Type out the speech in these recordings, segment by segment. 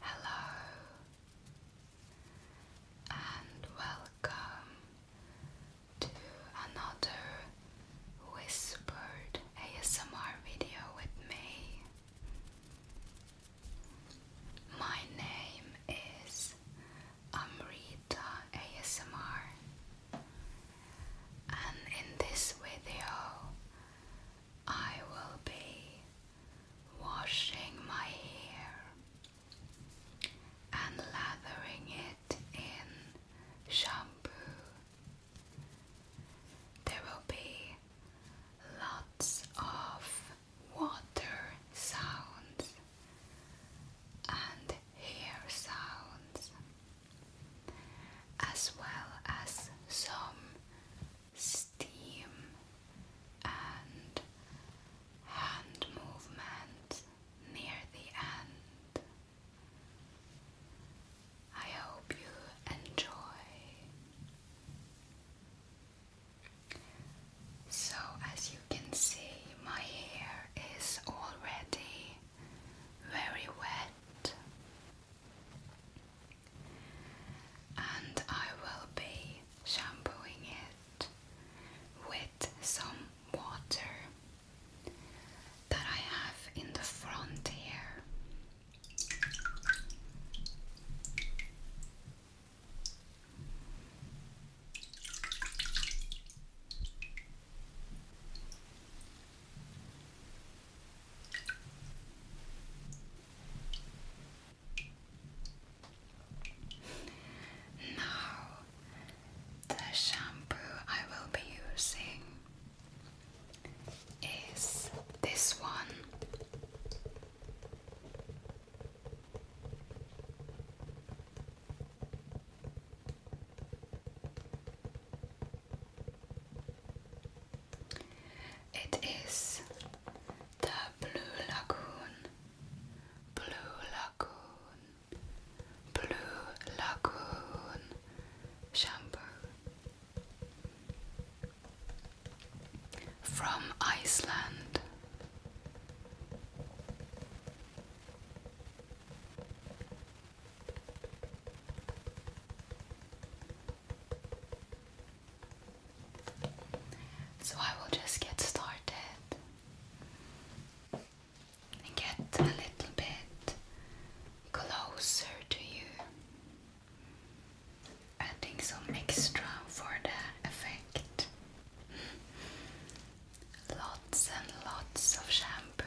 Hello and welcome to another whispered ASMR video with me. My name is Amrita ASMR and in this video I will be washing my hair and lathering it in shampoo. There will be lots of water sounds and hair sounds, as well as some steam and hand movement near the end. I hope you enjoy. So, as you can see, my hair is already very wet, and I will be shampooing it with some water that I have in the front here. Now, the shampoo I will be using is this one. It is the Blue Lagoon, Blue Lagoon, Blue Lagoon shampoo from Iceland. So I will just get started and get a little bit closer to you, adding some extra for the effect. Lots and lots of shampoo.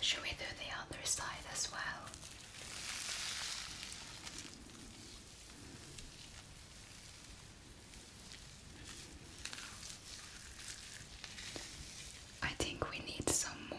Should we do the other side as well? I think we need some more.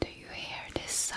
Do you hear this sound?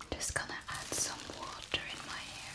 I'm just gonna add some water in my hair.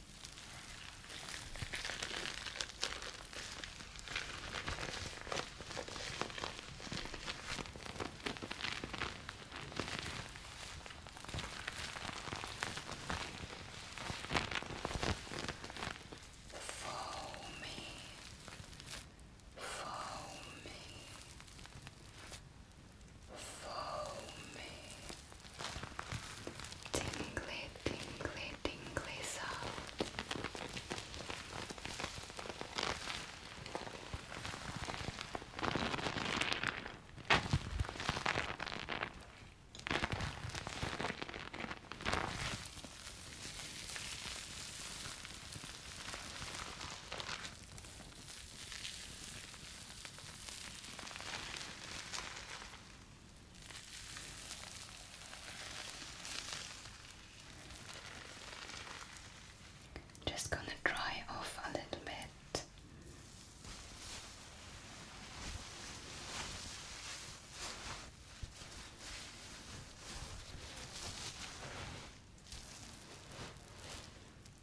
Foamy, foamy, foamy, tingly, tingly, tingly sound. Just gonna dry off a little bit.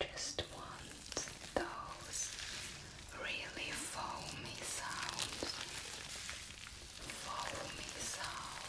Just want those really foamy sounds. Foamy sounds.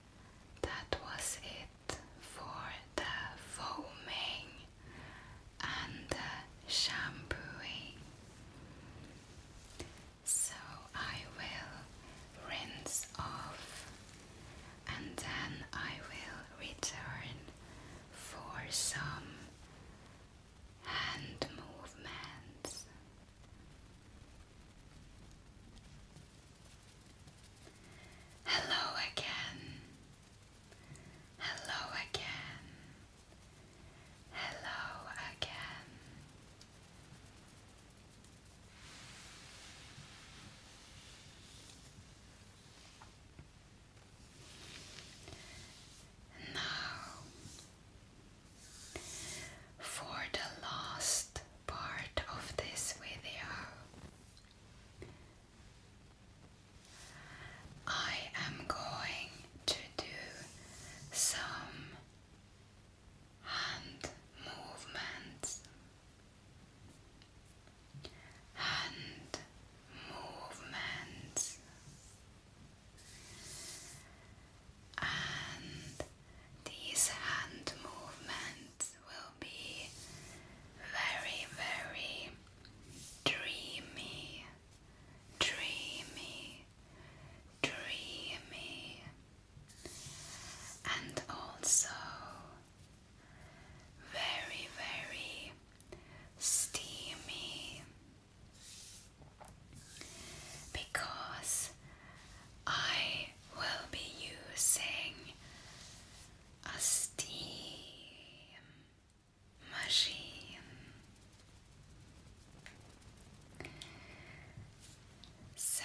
that was it for the foaming and the shampooing. So I will rinse off and then I will return for some hand movements. Hello again. Hello again. Hello again. Now, for the last part of this video, I am going to do some hand movements. Hand movements and these hand movements will be very, very dreamy, dreamy, dreamy, and also very, very steamy because I will be using a steam machine. So,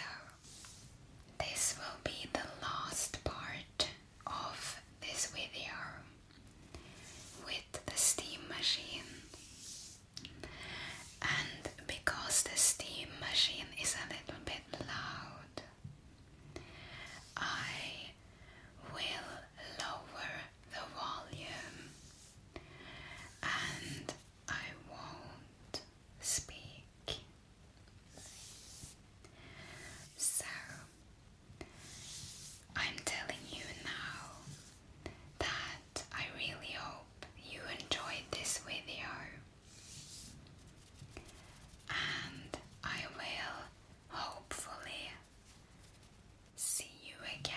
this will be the last part of this video with the steam machine. And because the steam machine is a little bit loud, I will lower the volume and I won't speak. So, I'm telling you now that I really hope you enjoyed this video and I will hopefully see you again.